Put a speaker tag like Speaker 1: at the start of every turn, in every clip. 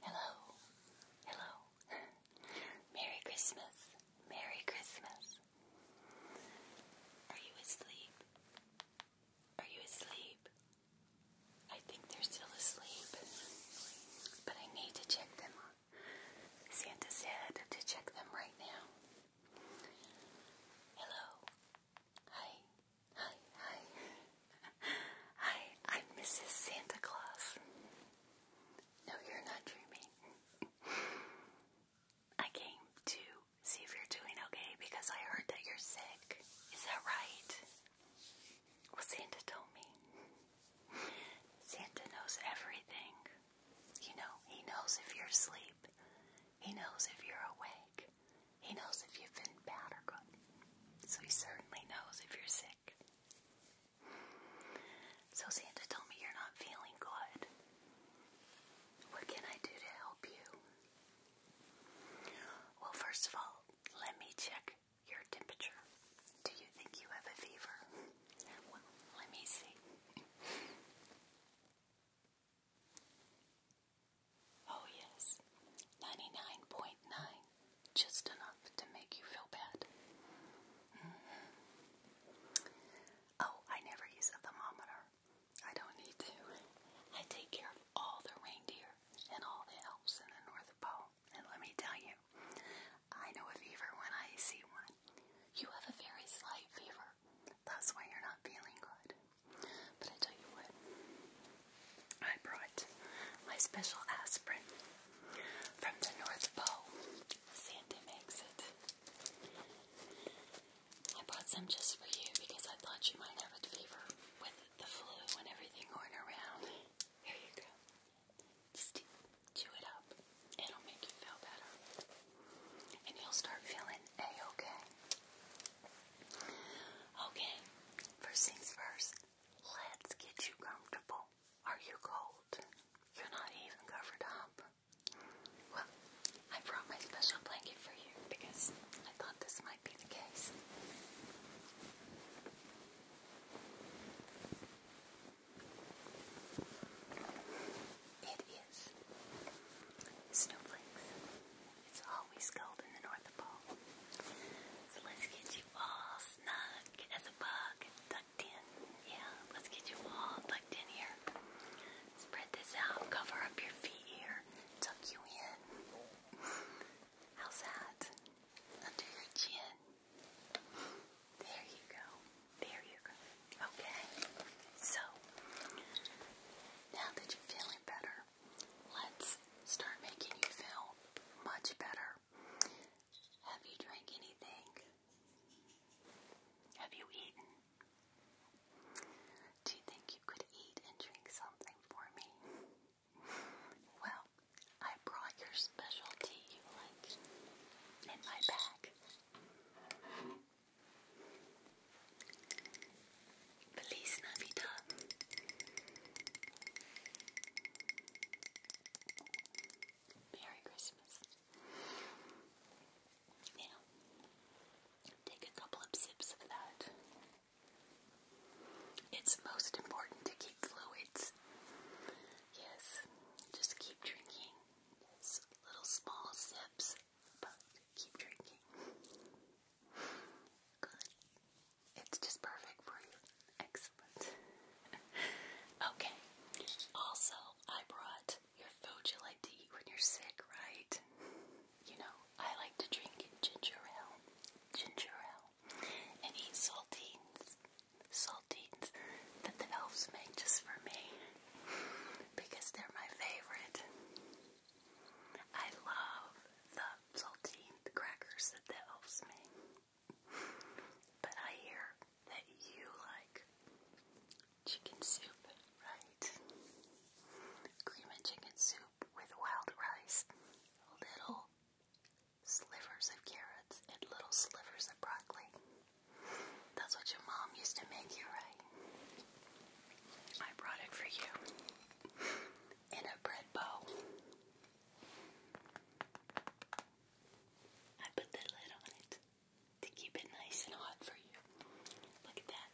Speaker 1: Hello, hello. Merry Christmas, Merry Christmas. Are you asleep? Are you asleep? I think they're still asleep, but I need to check them. Santa said to check them right now. Hello. Hi. Hi, hi. Hi, I'm Mrs. Santa Claus. No, you're not dreaming. I came to see if you're doing okay because I heard that you're sick. Is that right? Well, Santa told me. Santa knows everything. You know, he knows if you're asleep, he knows if you're awake, he knows if you've been bad or good. So he certainly knows if you're sick. So Santa told me you're not feeling good. What can I do to help you? Well, first of all, let me check your temperature. Do you think you have a fever? let me see. Oh, yes, 99.9, just enough to make you feel bad. Mm-hmm. Oh, I never use a thermometer. I don't need to. I take care of all the reindeer and all the elves in the North Pole. And let me tell you, I know a fever when I see one. You have a very slight fever. That's why you're not feeling good. But I tell you what, I brought my special aspirin from the North Pole. Santa makes it. I brought some just for you because I thought you might have a fever with the flu and everything going around. Here you go. Just chew it up. It'll make you feel better. And you'll start feeling A-okay. Okay, first things first, let's get you comfortable. Are you cold? You're not even covered up. Well, I brought my special blanket for you because I thought this might be the case. It is snowflakes. It's always cold in the North Pole. So let's get you all snug as a bug, tucked in. Yeah, let's get you all tucked in here. Spread this out, cover up your feet here, tuck you in. How's that? Under your chin. There you go. There you go. Okay. So, now that you're feeling better, Let's start making you feel much better. Have you drank anything? Have you eaten? Do you think you could eat and drink something for me? Well, I brought your specialty you like in my bag. Please, Navidad. Merry Christmas. Now, take a couple of sips of that. It's most important to keep fluids. Yes, just keep drinking. little small sips, but keep drinking. Good. It's just perfect for you. Excellent. okay. Also, I brought your food you like to eat when you're sick, right? You know, I like to drink ginger ale, ginger ale, and eat saltines, saltines that the elves make just for me because they're my favorite. I love the saltine crackers that the elves make. But I hear that you like chicken soup, right? Cream and chicken soup with wild rice, little slivers of carrots, and little slivers of broccoli. That's what your mom used to make you, right? I brought it for you in a bread bowl. I put the lid on it to keep it nice and hot for you. Look at that.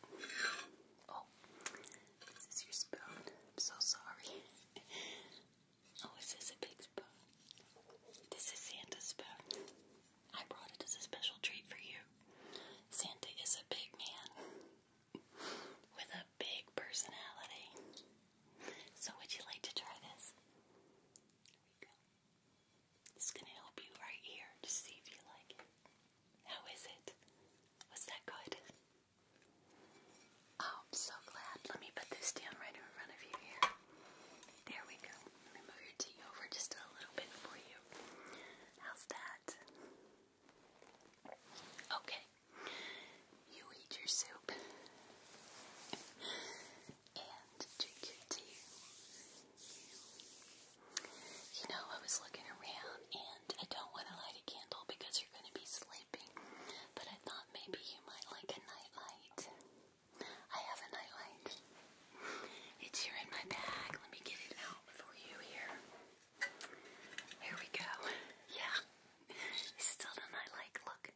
Speaker 1: Oh, this is your spoon. I'm so sorry. oh, is this a big spoon? This is Santa's spoon. I brought it as a special treat for you. Santa is a big man with a big personality. So, would you like to try this? There we go. It's going to help you right here to see if you like it. How is it? Was that good? Oh, I'm so glad. Let me put this down right in front of you here. There we go. Let me move your tea over just a little bit for you. How's that? Okay, you eat your soup and drink your tea. You know, I was looking around and I don't want to light a candle because you're going to be sleeping, but I thought maybe you might like a nightlight. I have a nightlight. It's here in my bag. Let me get it out for you here. Here we go. Yeah. Still doesn't I like look.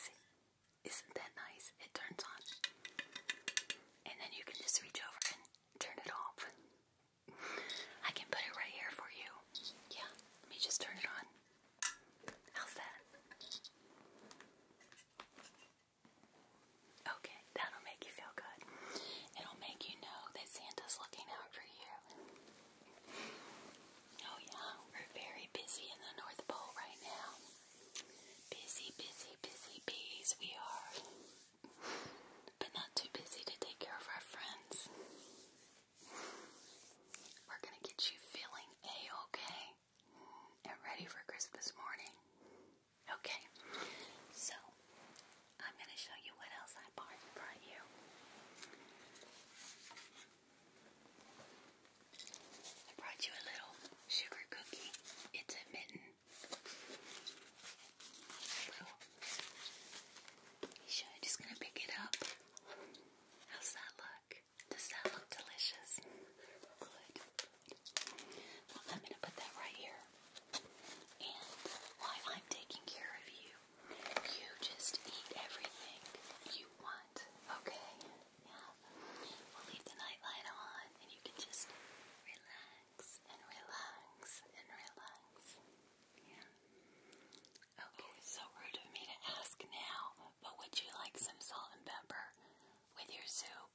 Speaker 1: See? Isn't that nice? It turns on. And then you can just reach over and turn it off. I can put it right here for you. Yeah. Let me just turn it on. How's that? Okay, that'll make you feel good. It'll make you know that Santa's looking out for you. Oh, yeah, we're very busy in the North Pole right now. Busy, busy, busy bees, we are. But not too busy to take care of our friends. We're gonna get you feeling A okay and ready for Christmas morning. Okay, so I'm going to show you what else I bought you. I brought you a little sugar cookie. It's a mitten. Little. Sure, i just going to pick it up. How's that look? Does that look delicious? Good. Well, I'm going to put that right here. And while I'm taking care of you, you just eat everything you want, okay? Yeah. We'll leave the nightlight on and you can just relax and relax and relax. Yeah. Okay, oh, so rude of me to ask now, but would you like some salt and pepper with your soup?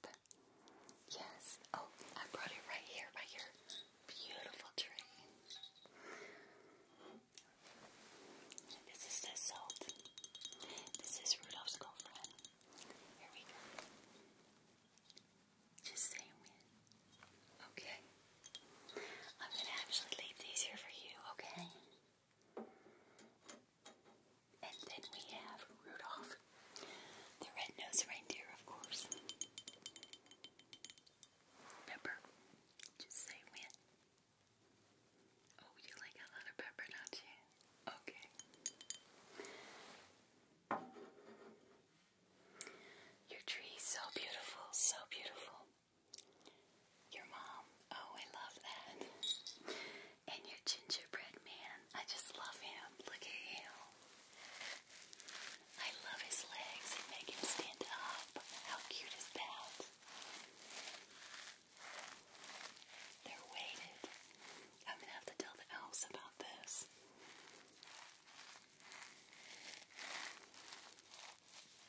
Speaker 1: Yes. Oh, I brought it right here by your beautiful tree. This is the salt. This is Rudolph's girlfriend. Here we go. Just say when. Okay. I'm gonna actually leave these here for you, okay? And then we have Rudolph, the red-nosed reindeer, of course. Pepper, just say when. Oh, you like a lot of pepper, not you? Okay. Your tree so beautiful, so beautiful. Your mom, oh, I love that. And your gingerbread man, I just love him. Look at him. I love his legs. They make him stand up. How cute is that? They're weighted. I'm gonna have to tell the elves about this.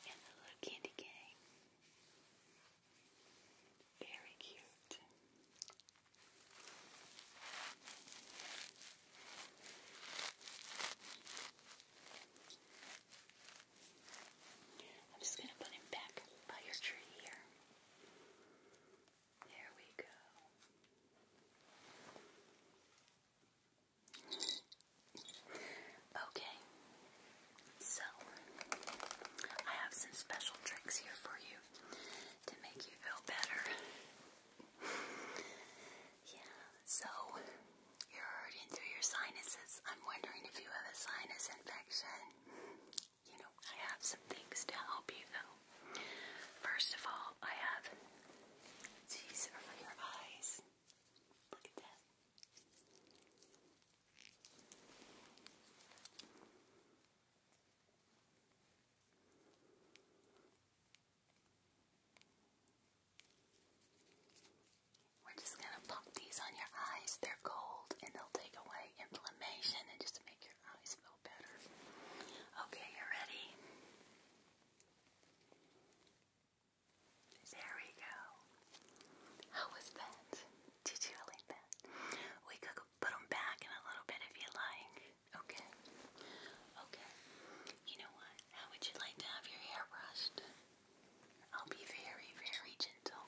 Speaker 1: And the little candy cane. Very cute. I'm just going to put him back by your tree here. There we go. Okay, so I have some special tricks here for you to make you feel better. yeah, so you're hurting through your sinuses. I'm wondering if you have a sinus infection. You know, I have some things to help you though. First of all, I have these are your eyes. Look at that. We're just going to pop these on your eyes. They're cold and they'll take away inflammation and just make your eyes feel better. Okay, you ready? There we go. How was that? Did you like that? We cook put them back in a little bit if you like. Okay. Okay. You know what? How would you like to have your hair brushed? I'll be very, very gentle.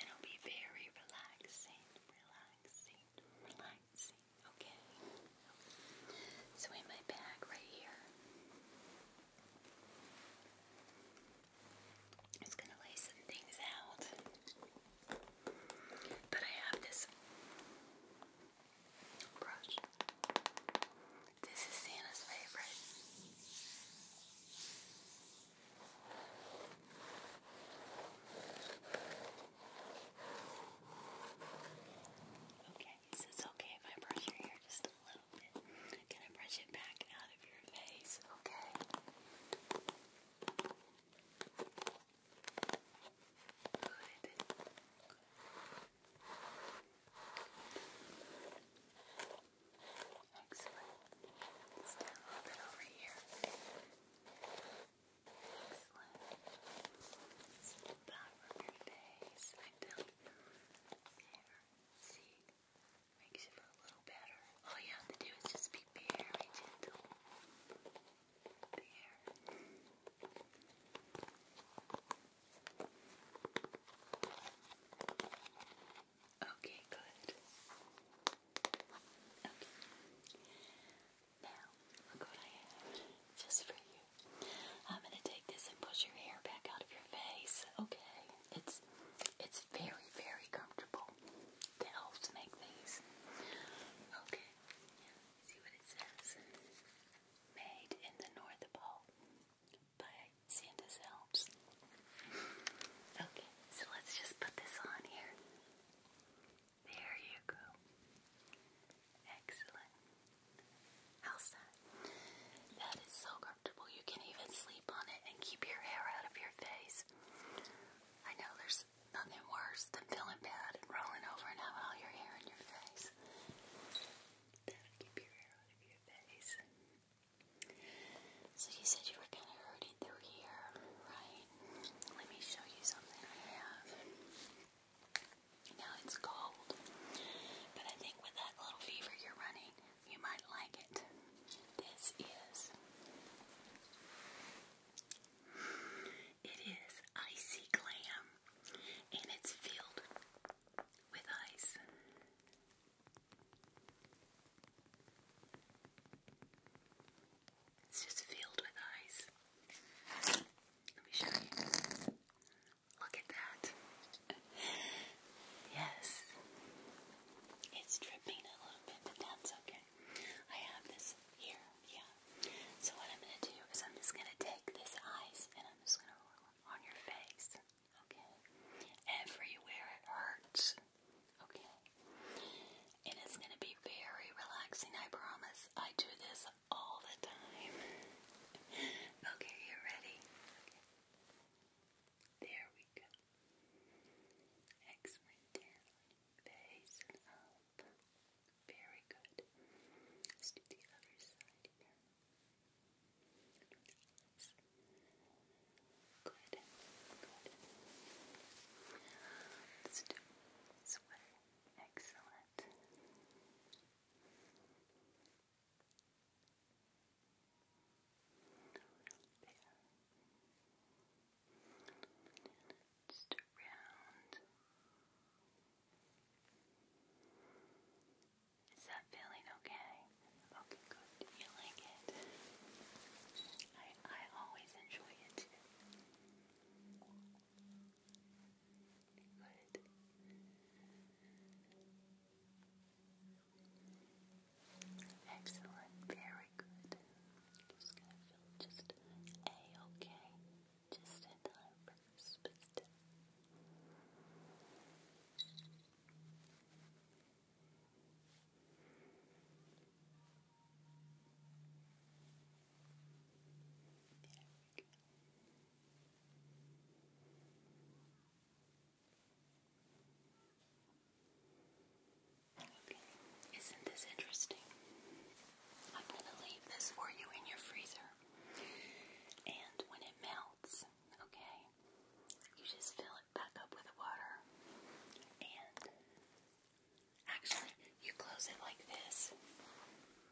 Speaker 1: And I'll be very relaxing. Relaxing. Relaxing. Okay. So in my bag right here. Just gonna lay some things out. But I have this brush. This is Santa's favorite. Okay, so it's okay if I brush your hair just a little bit. Can I brush it back out of your face? Okay. Excellent. Let's do a little bit over here. Excellent. Let's back from your face and down here. See. Makes you a little better. All you have to do is just be very gentle. Okay, good. Okay. Now, look what I have just for you. I'm gonna take this and push your hair back out of your face. Okay. It's it's very, very comfortable. The elves make these. Okay, see what it says. Made in the North Pole by Santa's elves. Okay, so let's just put this on here. There you go. Excellent. How's that? That is so you can even sleep on it and keep your hair out of your face. I know there's nothing worse than feeling bad and rolling over and having all your hair in your face. So you said you were kind of hurting through here, right? Let me show you something I have. Now it's cold, but I think with that little fever you're running, you might like it. This is. It is icy glam and it's filled with ice. It's just filled with ice. Let me show you. Look at that. Yes. It's dripping a little bit, but that's okay. I have this here, yeah. So what I'm gonna do is I'm just gonna take this ice and I'm just gonna roll it on your face, okay? Everywhere it hurts, okay? And it's gonna be very relaxing, I promise. I do this all the time. okay, you ready? There we go. Excellent, Base and up. Very good. Let's do the other side Good. Good. Let's do sweater. Excellent. Just Is that feeling okay? Okay, good. You like it? I I always enjoy it Good. Excellent, very good. Just gonna feel just a okay. Just in time bit. There Okay, isn't this interesting? I'm going to leave this for you in your freezer. And when it melts, okay, you just fill it back up with water. And actually, you close it like this.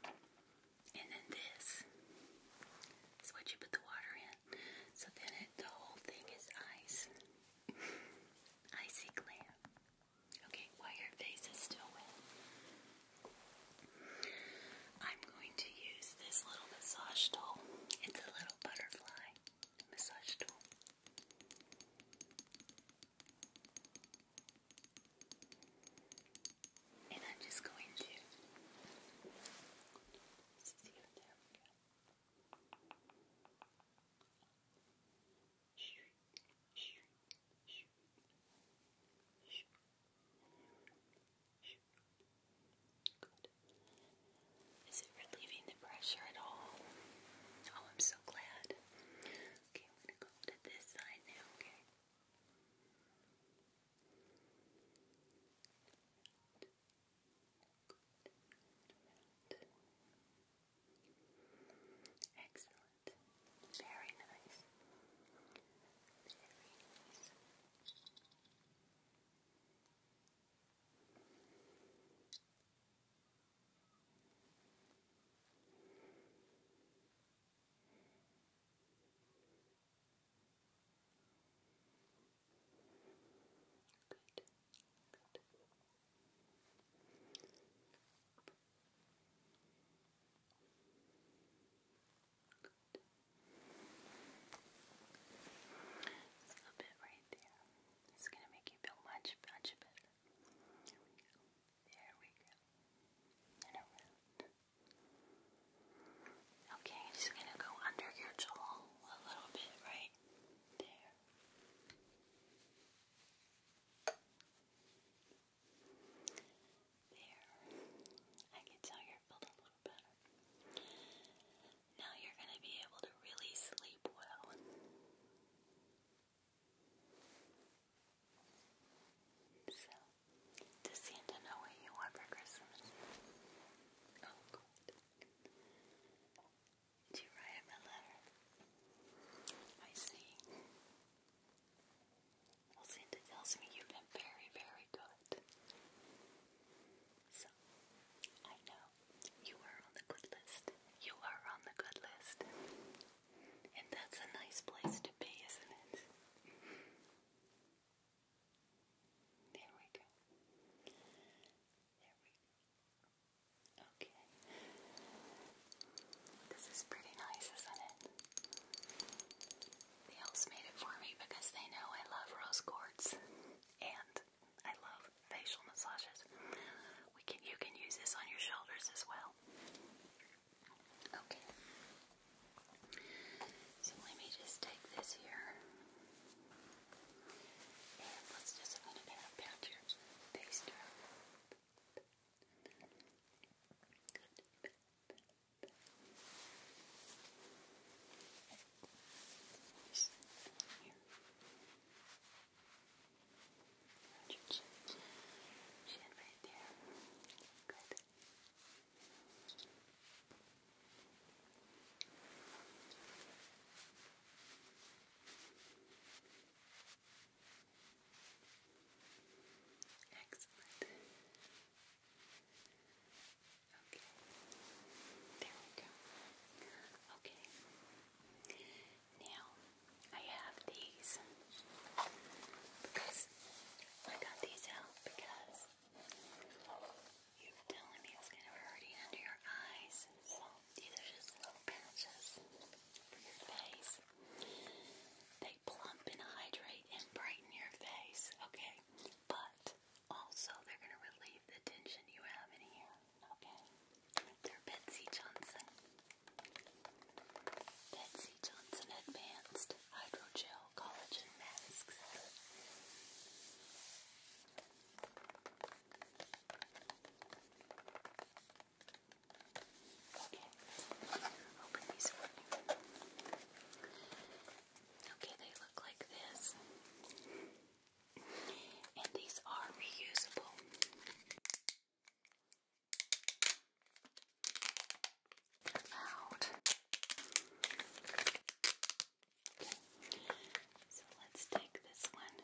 Speaker 1: And then this is what you put the water in. So then the whole thing is ice. Icy glam. Okay, while your face is still wet, I'm going to use this little massage tool. It's a little butterfly massage tool. And I'm just going to. Good. Is it relieving the pressure at all? Oh, I'm so glad. Okay, I'm gonna go to this side now, okay? Good. Excellent. Very nice. Very nice. Good. Good. Good. bit right there. It's gonna make you feel much, much better. There we go. There we go. And around. Okay, just gonna go under your jaw a little bit, right there. There. I can tell you're feeling a little better. Now you're gonna be able to really sleep well. So does Santa know what you want for Christmas? Oh, good. Do you write him a letter? I see. Well, Santa tells me you've been very, very good. So, I know. You are on the good list. You are on the good list. And that's a nice place to be, isn't it? There we go. There we go. Okay. This is pretty nice, isn't it? The elves made it for me because they know I love rose quartz and I love facial massages. We can you can use this on your shoulders as well. Okay. So let me just take this here. And let's just, I'm going to pat, pat Good. here. right there. Good. Excellent. Okay. There we go. Okay. Now I have these because I got these out because you're telling me it's kind of hurting under your eyes. So these are just little patches for your face. They plump and hydrate and brighten your face, okay? But also they're going to relieve the tension you have in here, okay? They're Betsy Johnson. Betsy Johnson Advanced Hydrogel collagen masks. Okay, open these Okay, they look like this. And these are reusable loud. Okay. So let's take this one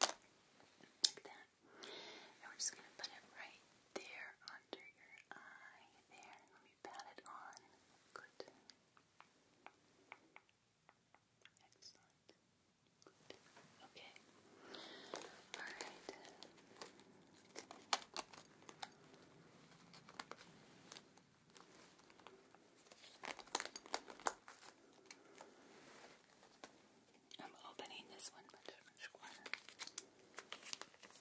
Speaker 1: like that, and we're just gonna put it right there under your eye. There, let me pat it on. Good. Excellent. Okay. All right. I'm opening this one much, much quicker.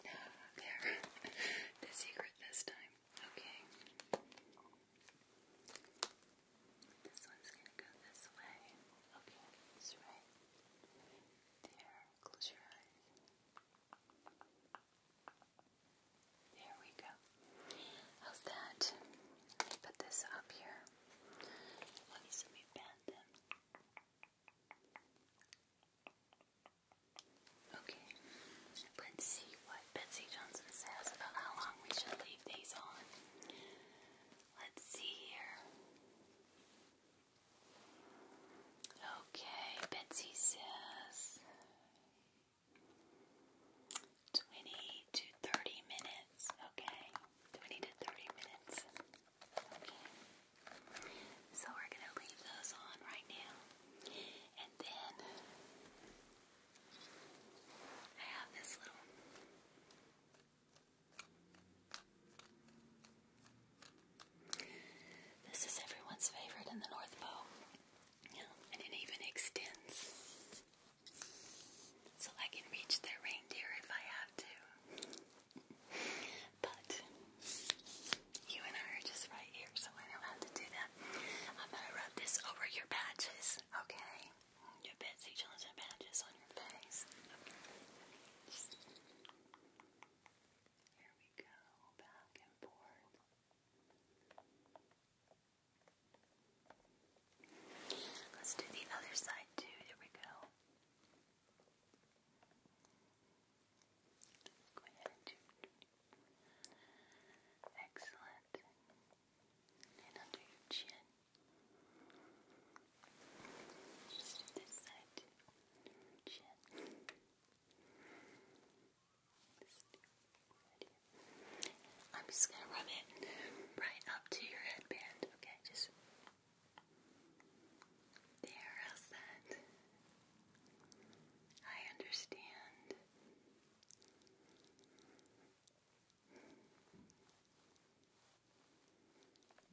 Speaker 1: There. the secret this time. Okay. This one's gonna go this way. Okay, right. There. Close your eyes. There we go. How's that? Let put this up here. Let me bend them. Okay. Let's see what Betsy Johnson says about how long we should leave these on. Let's see here. Okay, Betsy says 20 to 30 minutes. Okay, 20 to 30 minutes. Okay, so we're going to leave those on right now. And then I have this little this is everyone's favorite in the North Pole. Yeah, and it even extends. So I can reach their reindeer if I have to. But you and I are just right here, so I don't have to do that. I'm gonna rub this over your patches, okay? Your Betsy Johnson patches on your face. Here we go, back and forth. Let's do the other side too. Here we go. Go ahead excellent. And under your chin. Just this side too. I'm just gonna rub it right up to your headband, okay? Just there, I understand.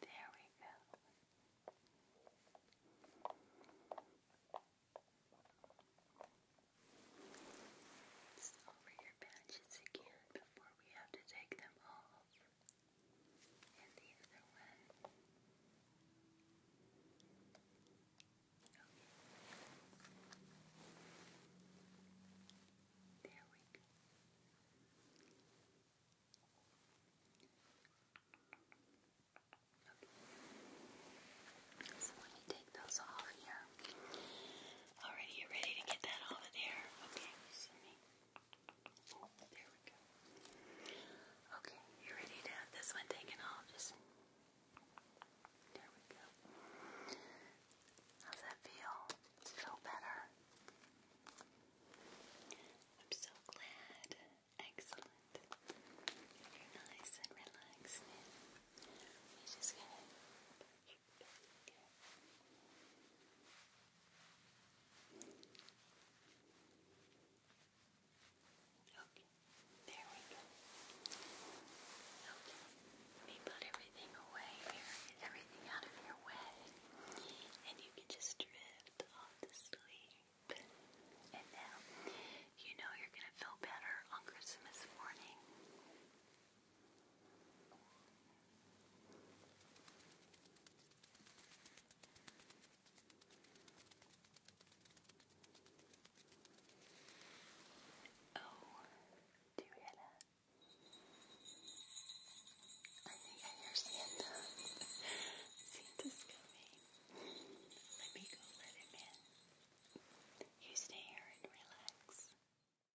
Speaker 1: There we go. let over your patches again before we have to take them off and the other one. Okay. There we go. Okay. So let me take those off here. Alright, you ready to get that off of there? Okay, so me. Okay, you ready to have this one taken off? Just there we go. How's that feel? it feel better? I'm so glad. Excellent. You're nice and relaxed now. You're just gonna Okay, there we go. Okay, let me put everything away here, get everything out of your way, and you can just drift off to sleep. And now, you know you're gonna feel better on Christmas morning. Oh, do you hear that? I think I hear Santa. Santa's coming. Let me go let him in. You stay here and relax.